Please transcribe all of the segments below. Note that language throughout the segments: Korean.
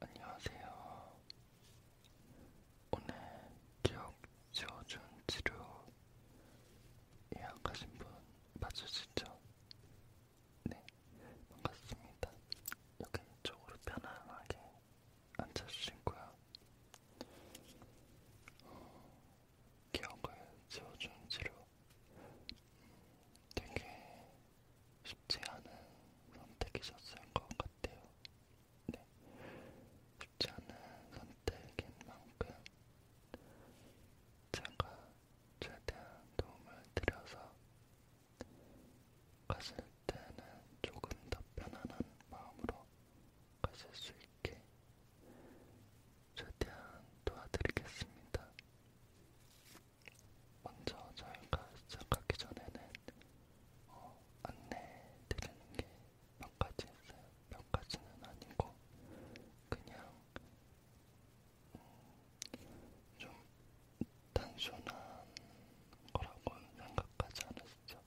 안녕하세요. 오늘 기억 지워준 치료 예약하신 분 맞으시죠? 네, 반갑습니다. 여기 쪽으로 편안하게 앉아주시고요. 어, 기억을 지워주는 치료 되게 쉽지 않은 선택이셨을 것 같아요. 네, 쉽지 않은 선택인 만큼 제가 최대한 도움을 드려서 가실 때는 조금 더 편안한 마음으로 가실 수 있게 최대한 도와드리겠습니다. 먼저 저희가 시작하기 전에는 어, 안내드리는 게 몇 가지 있어요. 몇 가지는 아니고 그냥 좀 단순한 거라고 생각하지 않으시죠?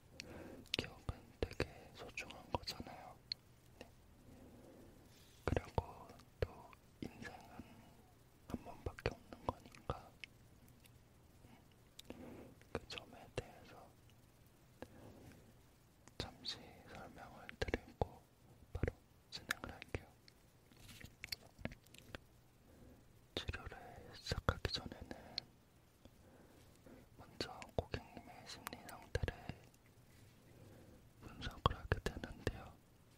기억은 되게 소중한 거잖아요. 네. 그리고 또 인생은 한 번밖에 없는 거니까 그 점에 대해서 잠시 설명을 드리고 바로 진행을 할게요. 치료를 시작하기 전에는 먼저 고객님의 심리 상태를 분석을 하게 되는데요.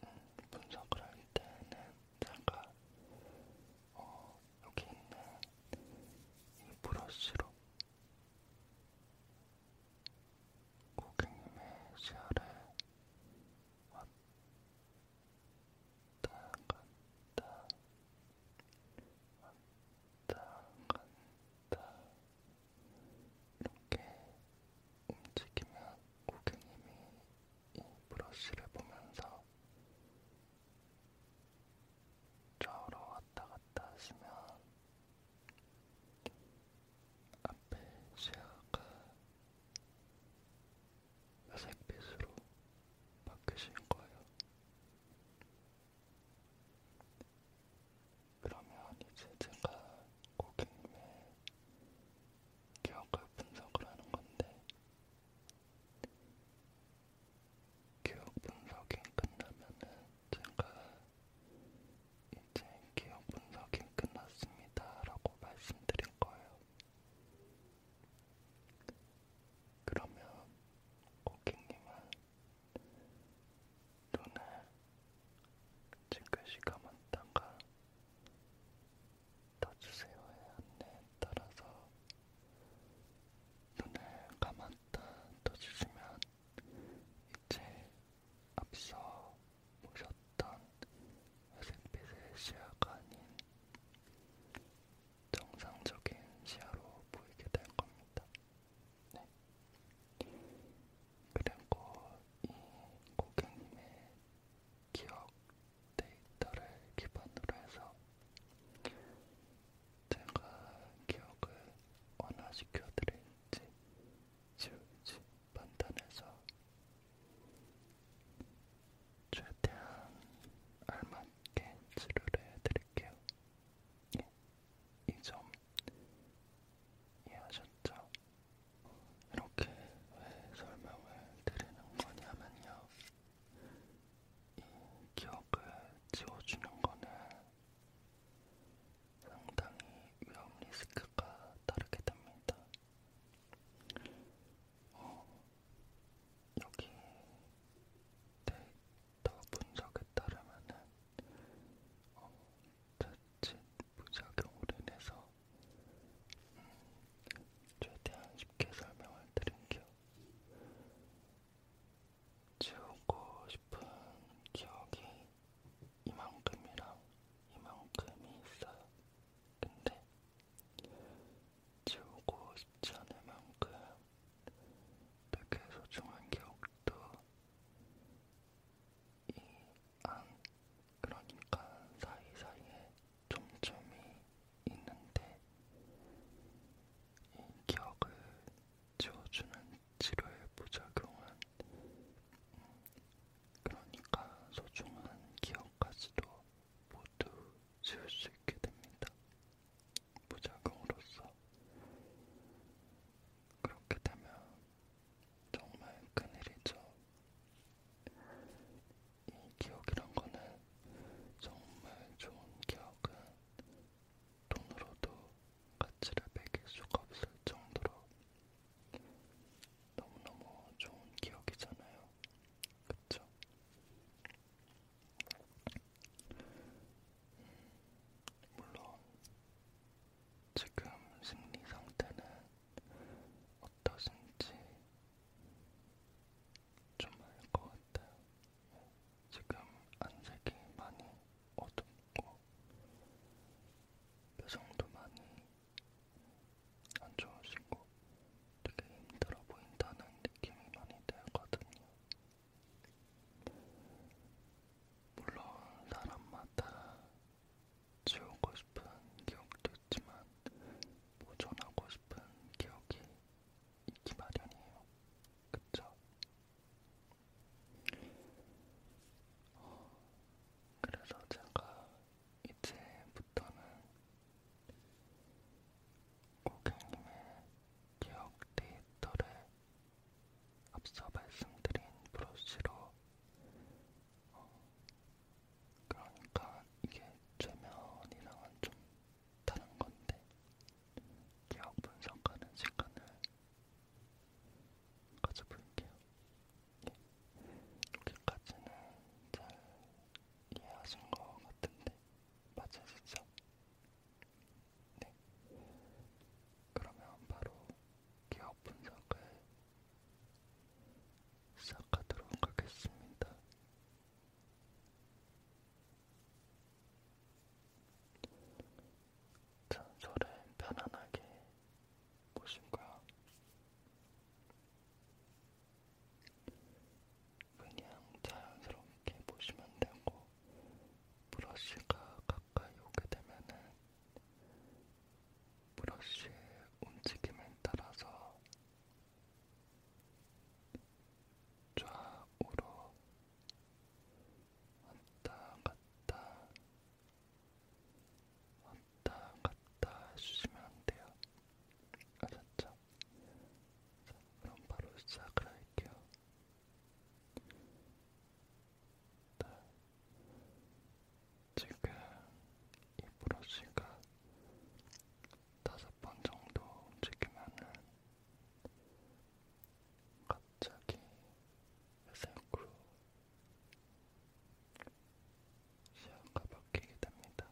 음, 분석을 할 때는 제가 어, 여기 있는 이 브러쉬로 고객님의 시야를 왔다 갔다 왔다 갔다 이렇게 움직이면 고객님이 이 브러쉬를 보면서 좌우로 왔다 갔다 하시면 앞에 시야가 회색빛으로 바뀌신 거예요. 그러면 이제 제가 고객님의 기억을 분석을 하는 건데, 기억 분석이 끝나면은 제가 이제 기억 분석이 끝났습니다라고 말씀드린 거예요. 그러면 고객님은 눈을 찌그시 감았다가 떠주세요의 안내에 따라서 눈을 감았다 떠주시면 이제 앞서 오셨던 회색빛의 시야가 아닌 정상적인 시야로 보이게 될 겁니다. 네. 그리고 이 고객님의 기억 데이터를 기반으로 해서 제가 기억을 완화시켜 드릴지 지울지 판단해서 최대한 알맞게 치료를 해드릴게요. 예, 이점 이해하셨죠? 이렇게 왜 설명을 드리는 거냐면요. 이 기억을 지워주는 거는 상당히 위험 리스크가 따르게 됩니다. 어, 여기 데이터 분석에 따르면은 어, 자칫 부작용으로 인해서 음, 최대한 쉽게 설명을 드릴게요. 지우고 싶은 기억이 이만큼이랑 이만큼이 있어요. 근데 지우고 싶지 않을 만큼 되게 소중한 기억도 이안 그러니까 사이사이에 점점이 있는데 이 기억을 지워주는 치료의 부작용은 음, 그러니까 소중한 기억 부분까지도 모두 지울 수 있게 됩니다. 무작용으로써 그렇게 되면 정말 큰일이죠. 이 기억이란 거는 정말 좋은 기억은 돈으로도 가치를 매길 수가 없을 정도로 너무너무 좋은 기억이잖아요. 그쵸? 음, 물론, 지금 심리 상태는 어떠신지 좀 알 것 같아요. 지금 안색이 많이 어둡고 표정도 많이 안 좋으시고 되게 힘들어 보인다는 느낌이 많이 들거든요. 물론 사람마다 지우고 싶은 기억도 있지만 보존하고 싶은 기억이 있기 마련이에요. 그쵸? 어, 그래서 제가 이제부터는 고객님의 기억 데이터를 앞서 말씀드린 브러쉬로 어, 그러니까 이게 최면이랑은 좀 다른 건데 기억 분석하는 시간을 가져볼게요. 여기까지는 잘 이해하신 것 같은데 맞으시죠? 네. 그러면 바로 기업 분석을 시작하도록 하겠습니다. 잔소를 편안하게 무엇인가 그냥 자연스럽게 보시면 되고 브러쉬가 가까이 오게 되면은 브러쉬의 움직임에 따라서 좌우로 왔다 갔다 왔다 왔다 갔다 해주시면 안 돼요. 아셨죠? 자, 그럼 바로 시작을 할게요. 네. 지금 이 브러쉬가 다섯 번 정도 움직이면은 갑자기 회색으로 시야가 바뀌게 됩니다.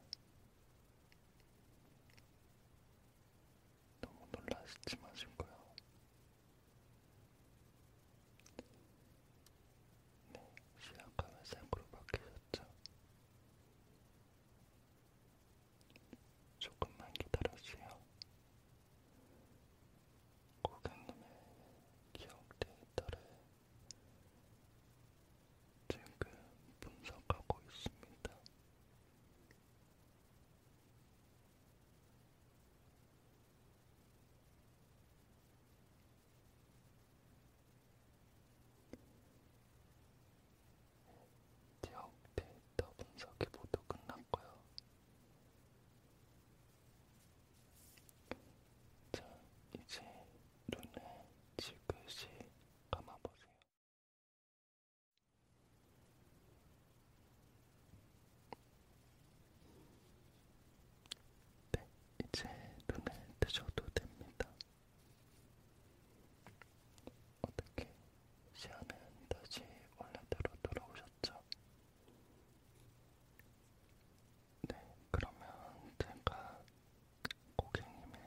너무 놀라시지 마시고요. 네, 시야가 회색으로 바뀌셨죠? 조금만 기다려주세요. 고객님의 기억 데이터를 지금 분석하고 있습니다. 지역 데이터 분석이 모두 끝났고요. 자, 이제 눈을 지그시 감아보세요. 네, 이제 눈을 뜨셔도 됩니다. 어떻게 시야는 다시 원래대로 돌아오셨죠? 네, 그러면 제가 고객님의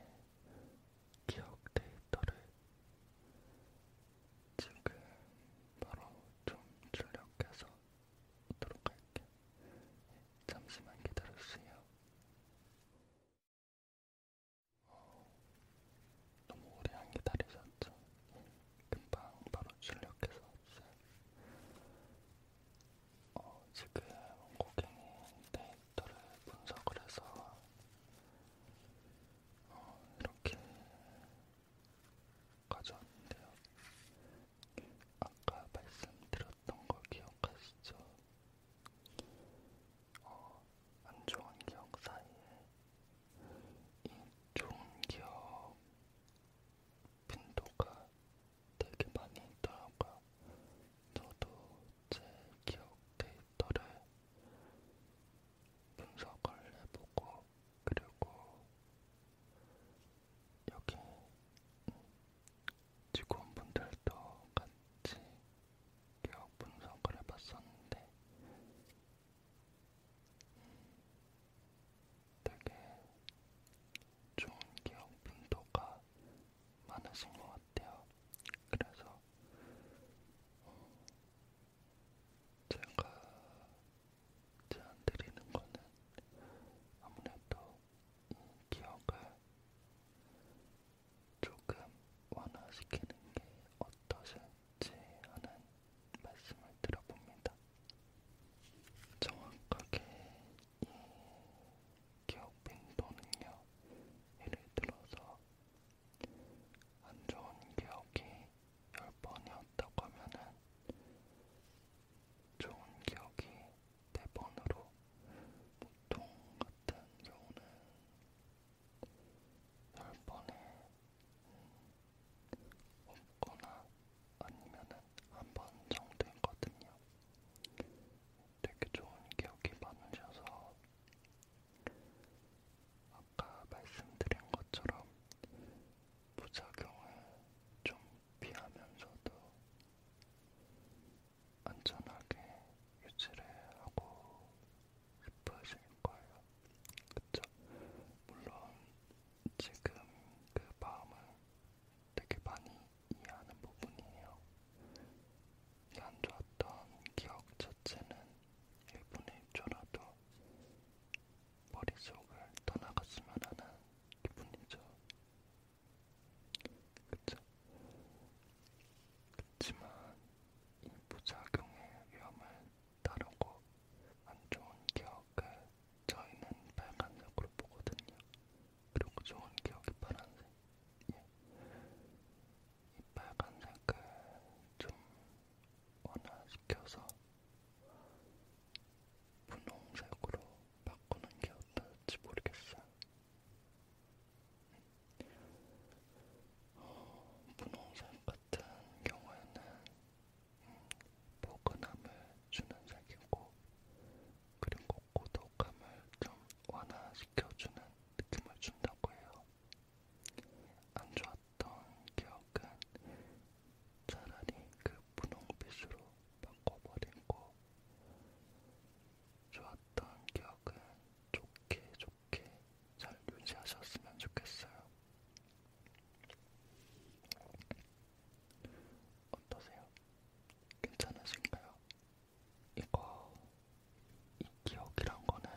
기억 데이터를 지금 바로 좀 출력해서 보도록 할게요. 네, 잠시만 기다려주세요. 어, 너무 오래 안 기다리셨죠? 네, 금방 바로 출력해서 왔어요. 어, 지금 고객님 데이터를 분석을 해서 어, 이렇게 가져왔는데요. 아까 말씀드렸던 거 기억하시죠? 어, 안 좋은 기억 사이에 이 좋은 기억 빈도가 되게 많이 있더라고요. 저도 제 기억 데이터를 분석을 해보고 그리고 여기 직원분들도 같이 기억 분석을 해봤었는데 음, 되게 좋은 기억 분도가 많으신 것 같아요. 그래서 어, 제가 제안 드리는 거는 아무래도 이 기억을 조금 완화시키는 게 어떠실지 하는 말씀을 들어봅니다. 정확하게 이 기억 빈도는요. 예를 들어서 안 좋은 기억이 10번이었다고 하면은 좋은 기억이 4번으로 보통 같은 경우는 10번에 음, 없거나 아니면은 한번 정도 했거든요. 되게 좋은 기억이 많으셔서 아까 말씀드린 것처럼 부작용을 좀 피하면서도 안전하게 유지를 하고 싶으실 거예요. 그쵸? 물론 지금 그 마음은 되게 많이 이해하는 부분이에요. 안 좋았던 기억 자체는 1분의 1초라도 머릿속을 떠나갔으면 하는 기분이죠. 그쵸? 그치만 이 부작용의 위험을 다루고 안 좋은 기억을 저희는 빨간색으로 보거든요. 그리고 그 좋은 기억이 파란색. 예. 이 빨간색을 좀 완화시켜서 분홍색으로 바꾸는 게 어떨지 모르겠어요. 어, 분홍색 같은 경우에는 음, 포근함을 주는 색이고 그리고 고독함을 좀 완화시켜주는 느낌을 준다고 해요. 안 좋았던 기억은 차라리 그 분홍빛으로 바꿔버리고 좋았던 기억은 좋게 좋게 잘 유지하셨으면 좋겠어요. 어떠세요? 괜찮으신가요? 이거 이 기억이란 거는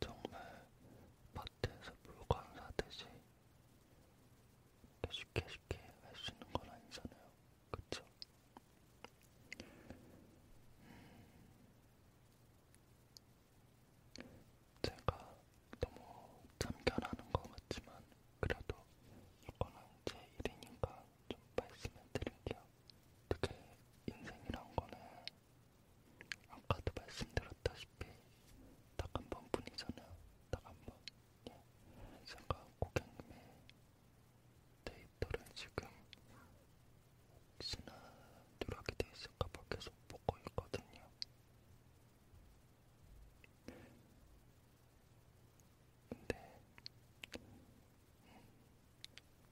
정말 마트에서 물건 사듯이 쉽게 쉽게 할수 있는 건 아니잖아요. 그쵸? 음. 제가 너무 참견하는 것 같지만 그래도 이거는 제 일이니까 좀 말씀해 드릴게요. 어떻게 인생이란 거는 아까도 말씀드렸다시피 딱 한 번뿐이잖아요. 딱 한 번. 예. 제가 고객님의 데이터를 지금 혹시나 누락이 돼 있을까봐 계속 보고 있거든요. 근데 네.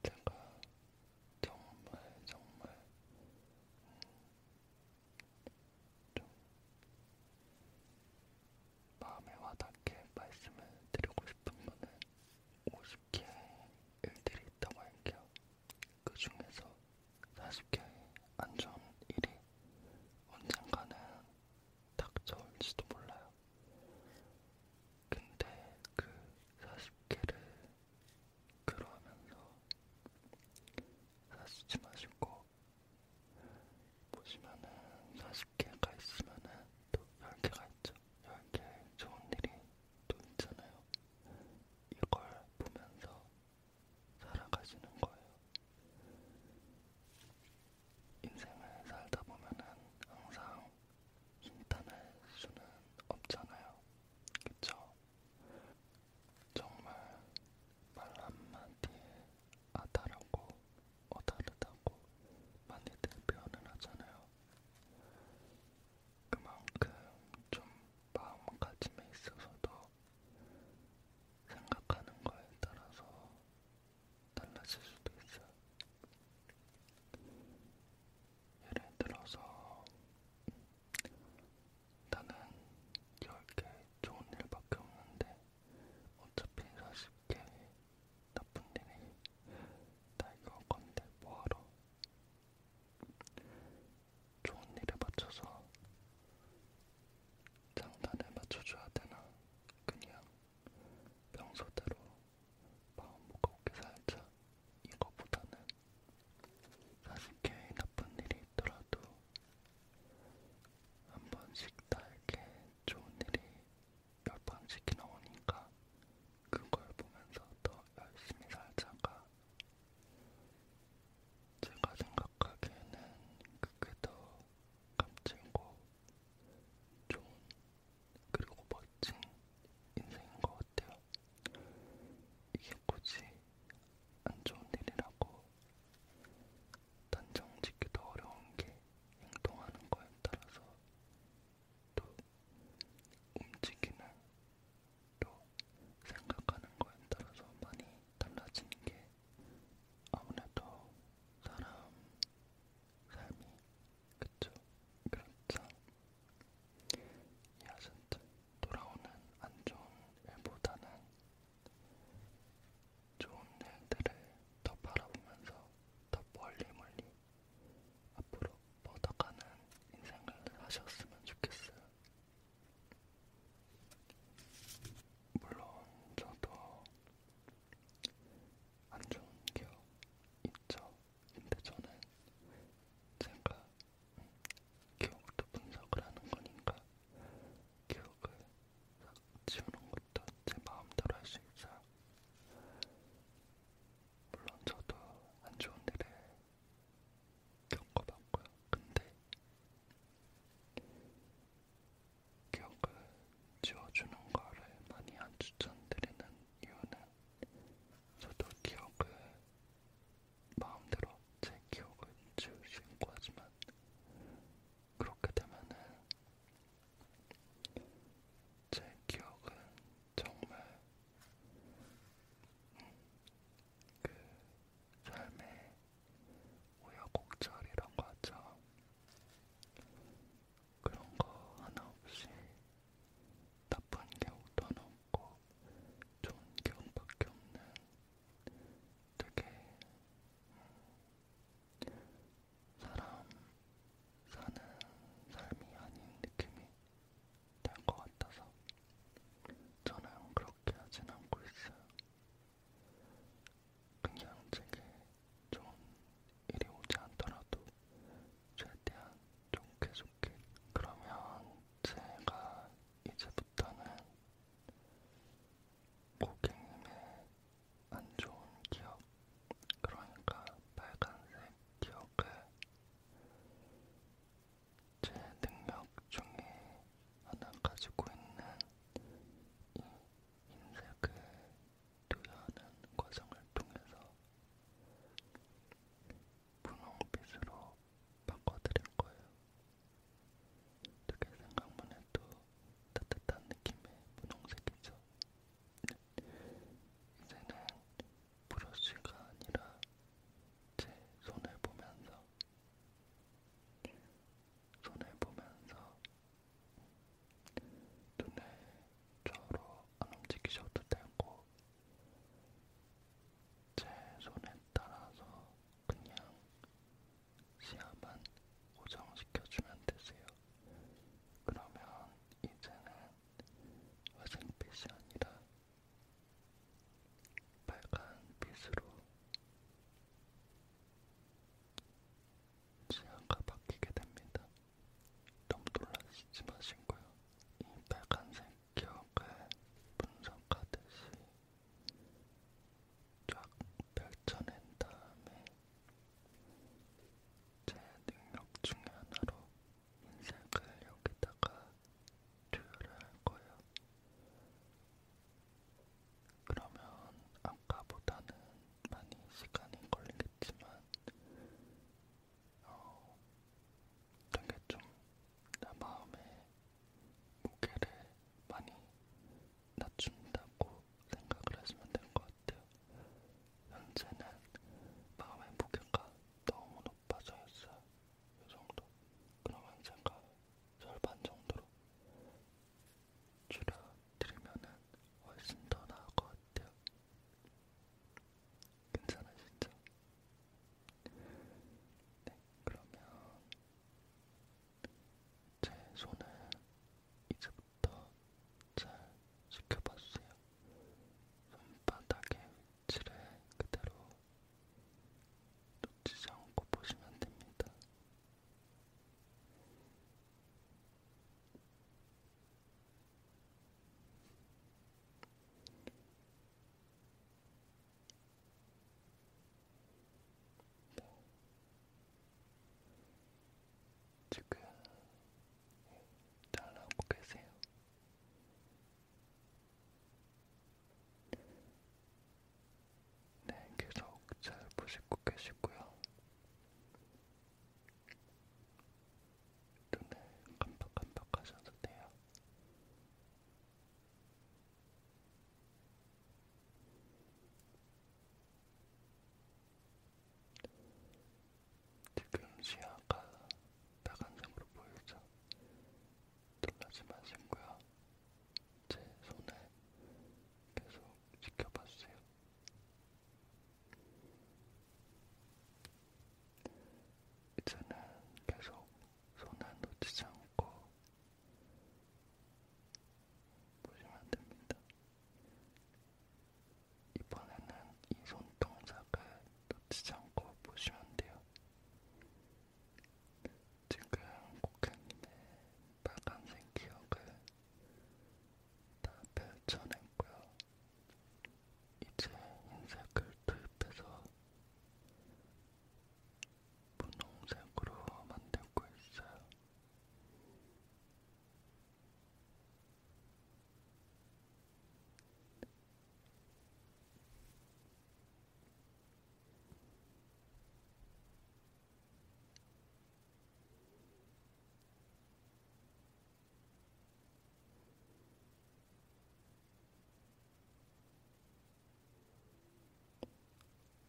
제가 정말 정말 좀 마음에 와닿게 말씀을 드리고 싶은 거는 50개 일들이 있다고 할게요. 그 중에서 40개의 안 좋은 일이 언젠가는 닥쳐올지도 몰라요. 근데 그 40개를 그러면서 사시지 마시고 보시면은 40개가 있으면은 또 10개가 있죠. 10개 좋은 일이 또 있잖아요. 이걸 보면서 살아가시는 거예요. 인생을 살다 보면은 항상 힘탄할 수는 없잖아요. 그쵸? 정말 말 한마디에 아다라고 어다르다고 많이들 표현을 하잖아요. 그만큼 좀 마음가짐에 있어서도 생각하는 거에 따라서 달라질 수도 있어요. 예를 들어서 나는 10개 좋은 일밖에 없는데 어차피 40개 나쁜 일이 다 이거 건데 뭐하러 좋은 일에 맞춰서 장단에 맞춰줘야 되나 그냥 평소대로 마음 무겁게 살자. 이거보다는 사실 괜히 나쁜 일이 있더라도 한 번씩 나에게 좋은 일이 열 번씩이나 오니까 그걸 보면서 더 열심히 살자가 제가 생각하기에는 그게 더 값진고 좋은 그리고 멋진 인생인 것 같아요. 이게 굳이 안 좋은 일이라고 단정 짓기도 어려운 게 행동하는 거에 따라서 또 움직이는 또 생각하는 거에 따라서 많이 달라지는 게 아무래도 사람 삶이 그쵸 그렇죠 야신듯 돌아오는 안 좋은 일보다는 좋은 일들을 더 바라보면서 더 멀리 멀리 앞으로 뻗어가는 인생을 하셨으면 좋겠어요. 물론 저도 안 좋은 기억 있죠. 근데 저는 제가 기억도 분석을 하는 거니까 기억을 싹 지우는 것도 제 마음대로 할 수 있어요. 물론 저도 안 좋은 일을 겪어봤고요. 근데 기억을 지워주는 거를 많이 안 추천드리는 이유는 저도 기억을 마음대로 제 기억을 지우시고 하지만 그렇게 되면은 제 기억은 정말 그 삶의 우여곡절이란 거 하죠. 그런 거 하나 없이 나쁜 기억도 하나 없고 좋은 기억밖에 없는 되게 음, 사람 사는 삶이 아닌 느낌이 될 것 같아서 저는 그렇게 하진 않고 있어요. 그냥 제게 좋은 일이 오지 않더라도 최대한 좋게 좋게 그러면 제가 이제부터는 고객님의 안 좋은 기억 그러니까 빨간색 기억을 제 능력 중에 하나 가지고 있는 이 흰색을 투여하는 과정을 통해서 분홍빛으로 바꿔드릴 거예요. 되게 생각만 해도 따뜻한 느낌의 분홍색이죠. 이제는 브러쉬가 아니라 제 손을 보면서 손을 보면서 눈을 좌우로 안 움직이셔도 되고 제 손에 따라서 그냥 시야만 고정시켜주면 되세요. 그러면 이제는 회색빛이 아니라 빨간빛으로 시야가 바뀌게 됩니다. 너무 놀라시지 마시고요. 이 빨간색 기억을 분석하듯이 쫙 펼쳐낸 다음에 제 능력 중에 하나로 인색을 여기다가 투여를 할 거예요. 그러면 아까보다는 많이 시간이 걸리겠지만 어, 되게 좀나 마음에 무게를 많이 낮춘다고 생각을 하시면 될 것 같아요. 현재는 마음의 무게가 너무 높아져 있어요. 이 정도. 그러면 제가 절반 정도로 줄여드리면은 훨씬 더 나을 것 같아요. 괜찮으시죠? 네, 그러면 제 손을 이제부터 잘 지켜봐주세요. 손바닥의 위치를 그대로 놓치지 않고 보시면 됩니다. 지금 잘 나오고 계세요. 네, 계속 잘 보시고 계시고요. 눈을 깜빡깜빡 하셔도 돼요. 지금 시야가 빨간색으로 보이죠? 놀라지 마시고요. 제 손을 계속 지켜봐주세요. 이제는 계속 손을 놓치지 않고 보시면 됩니다. 이번에는 이 손동작을 놓치지 않고 보시면 돼요. 지금 고객님의 빨간색 기억을 다 펼쳐냈고요. 이제 흰색을 투입해서 분홍색으로 만들고 있어요.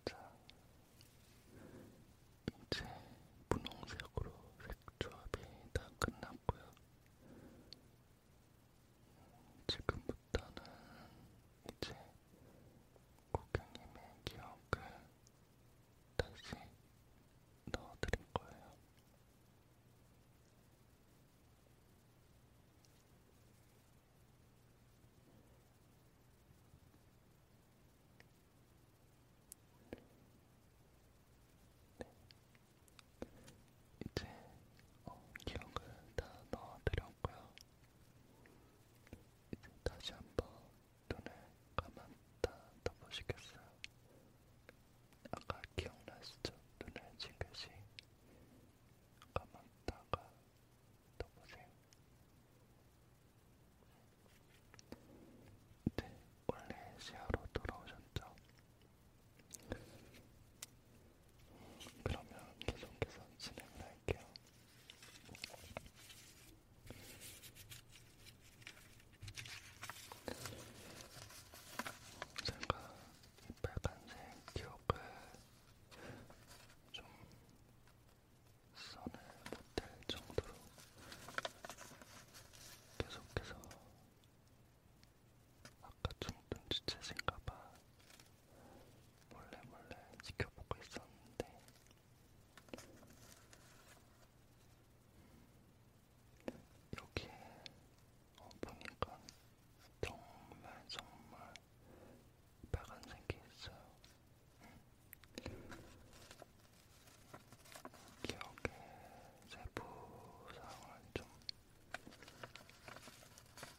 자, 이제 분홍색으로 색조합이 다 끝났고요. 지금부터는 이제 고객님의 기억을 다시 넣어드릴 거예요. 네. 이제 어, 기억을 다 넣어드렸고요. 이제 다시 한번 눈을 감았다 떠보시겠어요? 아까 기억나시죠? 눈을 징긋이 감았다가 떠보세요. 네, 원래 시야로 돌아오셨죠? 그러면 계속해서 진행을 할게요. 제가 이 빨간색 기억을 좀 선을 못할 정도로 계속해서 아까 좀 눈치채신가봐 몰래몰래 지켜보고 있었는데 이렇게 어, 보니까 정말 정말 빨간색이 있어요. 기억의 세부상을 좀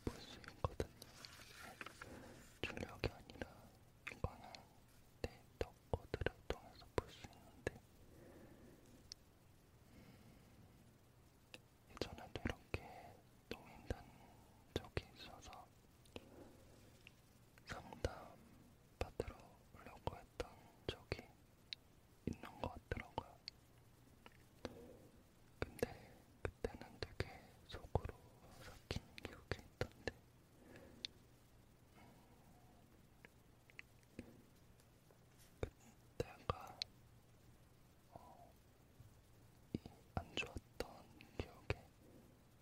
볼 수 있거든요. 네. 출력이 아니라 이거는 데이터 네, 어드를 통해서 볼 수 있는데 예전에도 이렇게 동행단 적이 있어서 상담 받으러 오려고 했던 적이 있는 것 같더라고요. 근데 그때는 되게 속으로 삭힌 기억이 있던데 그때가 어, 이안 좋았던 기억의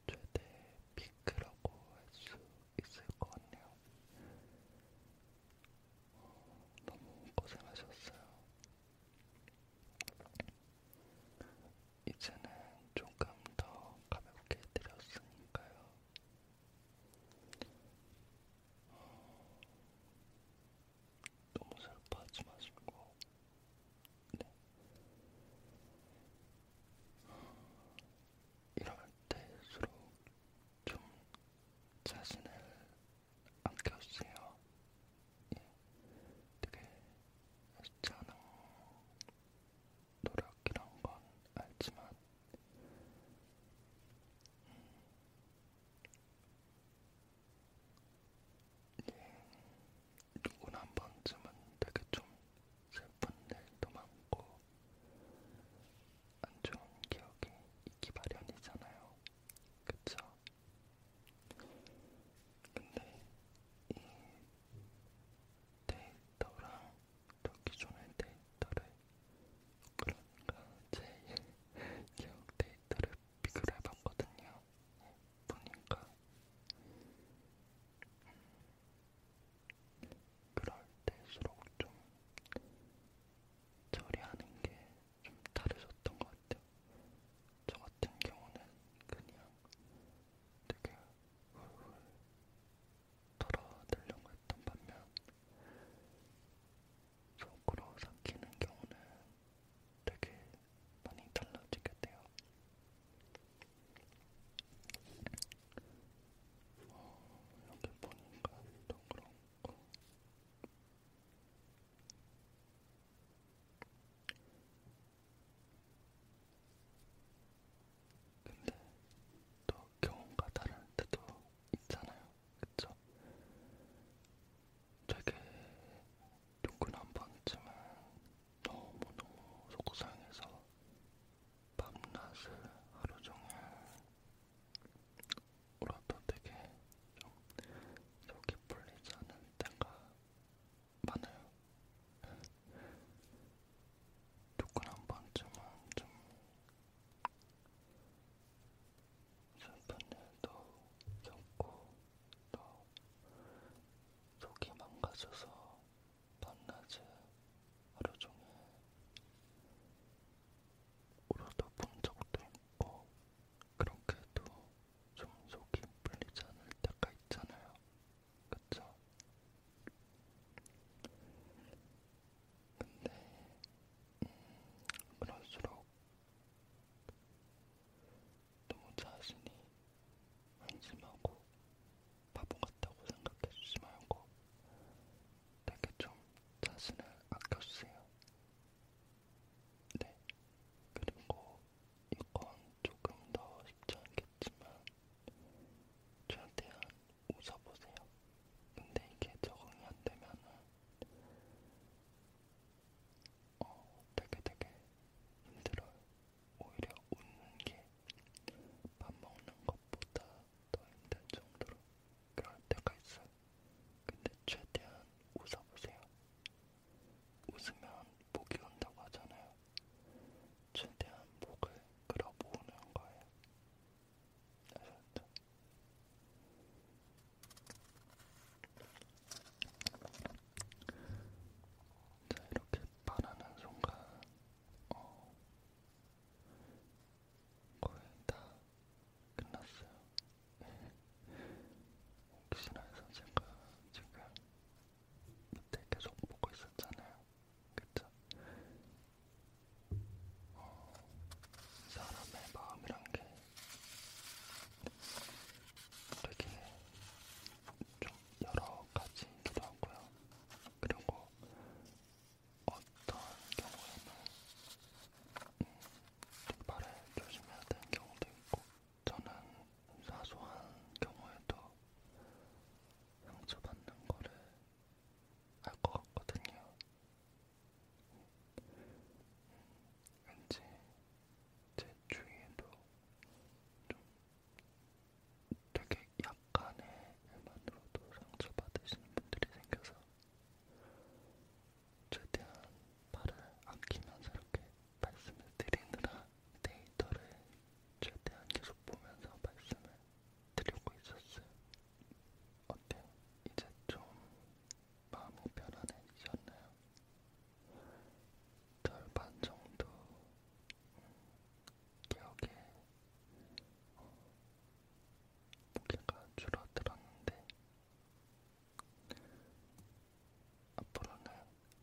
최대 피크라고 할 수 있을 것 같네요. 어, 너무 고생하셨어요. 이제는 조금 더 가볍게 해드렸으니까요. 어... 너무 슬퍼하지 마시고, 네. 이럴 때일수록 좀 자신을 아껴주세요. 예. 되게 쉽지 않은 노력이란 건 알지만 음, 예, 누구나 한 번쯤은 되게 좀 슬픈 일도 많고 안 좋은 기억이 있기 마련이잖아요. 그쵸? 근데 이 데이터랑 또 기존의 데이터를 그러니까 제 기억 데이터를 비교를 해봤거든요. 보니까 그럴 때일수록 좀 처리하는 게 좀 다르셨던 것 같아요. 저 같은 경우는 그냥 되게 훌훌 털어내려고 했던 반면 속으로 삼키는 경우는 되게 많이 달라지게 돼요. 어, 여기 보니까 또 그렇고 근데 또 경험과 다른 데도 있잖아요. 그쵸? 되게 누구나 한 번쯤은 너무너무 속상해서 밤낮을 하루 종일 울어도 되게 좀 속이 풀리지 않을 때가 많아요. 누구나 한 번쯤은 좀 슬픈 일도 겪고 또 속이 망가져서 밤낮에 하루 종일 울어도 본 적도 있고 그렇게도 좀 속이 풀리지 않을 때가 있잖아요. 그쵸? 근데 음, 그럴수록 너무 자신이 한심하고 바보 같다고 생각해주지 말고 되게 좀 자신을 아껴주세요. 네. 그리고 이건 조금 더 쉽지 않게 어렵지만 음, 최대한 웃어보세요. 근데 이게 적응이 안 되면은 어, 되게 되게 힘들어요. 오히려 웃는 게 밥 먹는 것보다 더 힘든 정도로 그럴 때가 있어요. 근데 최대한 웃어보세요. 웃으면 목이 온다고 하잖아요. 최대한 목을 끌어 모으는 거예요. 아셨죠? 자, 이렇게 바라는 순간, 어, 거의 다 끝났어요. 예. 혹시나 해서 제가 지금 그때 계속 보고 있었잖아요. 그쵸? 어, 사람의 마음이란 게 되게 좀 여러 가지이기도 하고요. 그리고 어떤 경우에는 음, 말을 조심해야 되는 경우도 있고, 저는 사소한 경우에도 상처받는 거를 알 것 같거든요. 왠지 제 주위에도 좀 되게 약간의 일만으로도 상처받으시는 분들이 생겨서 최대한 말을 아끼면서 이렇게 말씀을 드리느라 데이터를 최대한 계속 보면서 말씀을 드리고 있었어요. 어때요? 이제 좀 마음이 편안해지셨나요? 절반 정도 음, 기억에 무게가 어, 줄어들었는데 앞으로는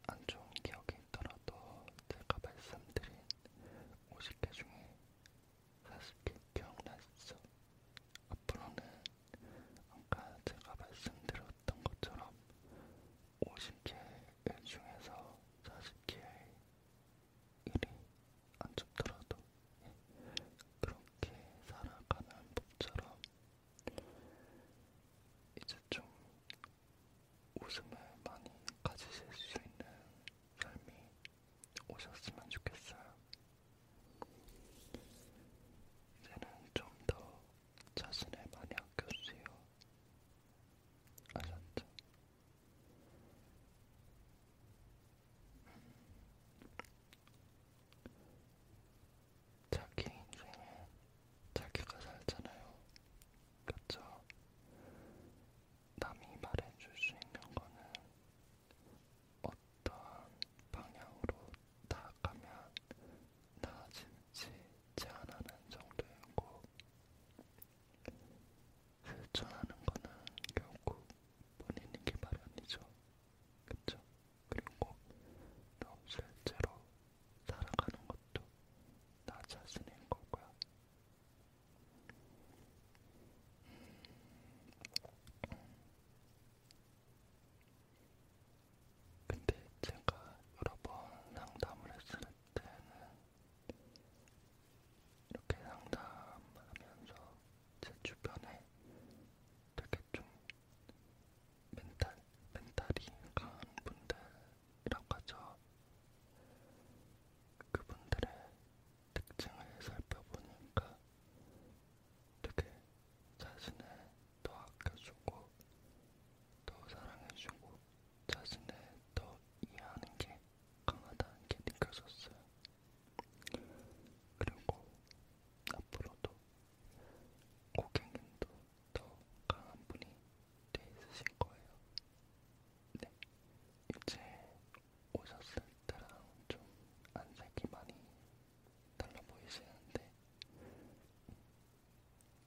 안 좋은 기억이 있더라도 제가 말씀드린 50개 중에 40개 기억나시죠? 앞으로는 아까 제가 말씀드렸던 것처럼 50개 중에서 40개의 일이 안 좋더라도 예, 그렇게 살아가는 법처럼 이제 좀 웃음을 많이 가지실 수 있는 삶이 오셨으면 좋겠어요. 이제는 좀 더 자신을 많이 아껴주세요. 아셨죠? 자기 인생에 자기가 살잖아요. 그쵸? 남이 말해줄 수 있는 거는 어떤 방향으로 다가면 나아질지 제안하는 정도이고 실천하는 그 거는 결국 본인이기 마련이죠. 그쵸? 그리고 또 실제로 살아가는 것도 나 자신인 거고요. 근데 제가 여러 번 상담을 했을 때는 이렇게 상담하면서 제 주변에 되게 좀 멘탈, 멘탈이 강한 분들 이라고 하죠. 그분들의 특징을 살펴보니까 되게 자신을 더 아껴주고 더 사랑해주고 자신을 더 이해하는 게 강하다는 게 느껴졌어요. 그리고 앞으로도 고객님도 더 강한 분이 돼 있으실 거예요. 네, 이제 오셨을 때랑 좀 안색이 많이 달라 보이시는데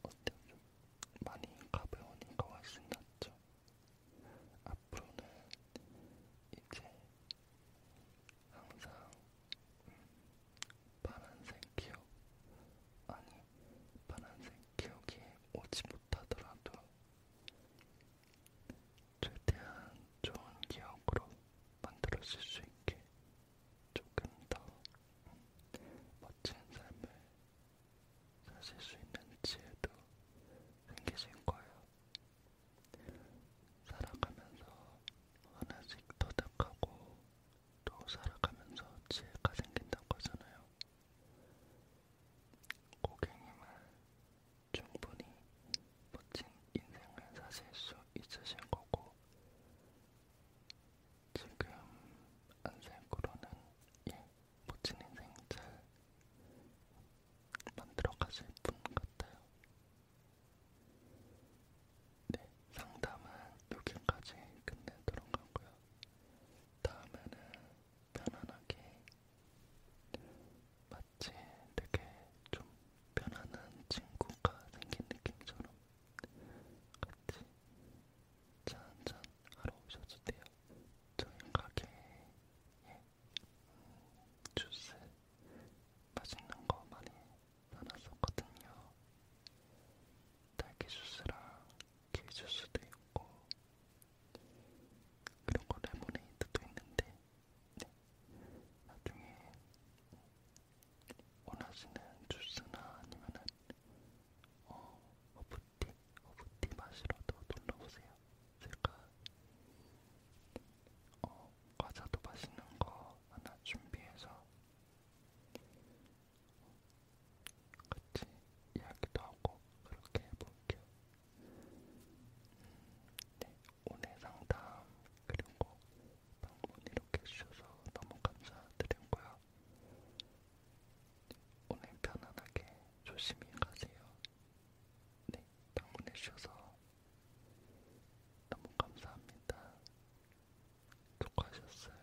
어때요? 좀 많이 가벼우니까 훨씬 낫죠? 앞으로는 이제 항상 음, 파란색 기억 아니 파란색 기억에 오지 못하더라도 최대한 좋은 기억으로 만들어질 수 있게 조금 더 멋진 삶을 사실 수 있는 지혜도 생기실 거예요. 살아가면서 하나씩 터득하고 또 살아가면서 지혜가 생긴다고 하잖아요. 고객님은 충분히 멋진 인생을 사실 수 있으신 거고, 지금 안색으로는 예, 멋진 인생 잘 만들어 가실 분 같아요. 네, 상담은 여기까지 끝내도록 하고요. 다음에는 편안하게 마치 되게 좀 편안한 친구가 생긴 느낌처럼 같이 차 한잔 하러 오셔도 돼요. 저희 가게에 음, 주스 맛있는 거 많이 사놨었거든요. 딸기 주스랑 해줄 수도 있고 그런 거 레모네이드도 있는데 네. 나중에 원하시는 주스나 아니면은 어, 허브티, 허브티 마시러도 놀러오세요. 제가 어, 과자도 맛있는 거 하나 준비해서 같이 이야기도 하고 그렇게 해볼게요. 음, 네, 오늘 상담 그리고 방문 이렇게 해주셔서 너무 감사드리고요. 오늘 편안하게 조심히 가세요. 네, 방문해 주셔서 너무 감사합니다. 수고하셨어요.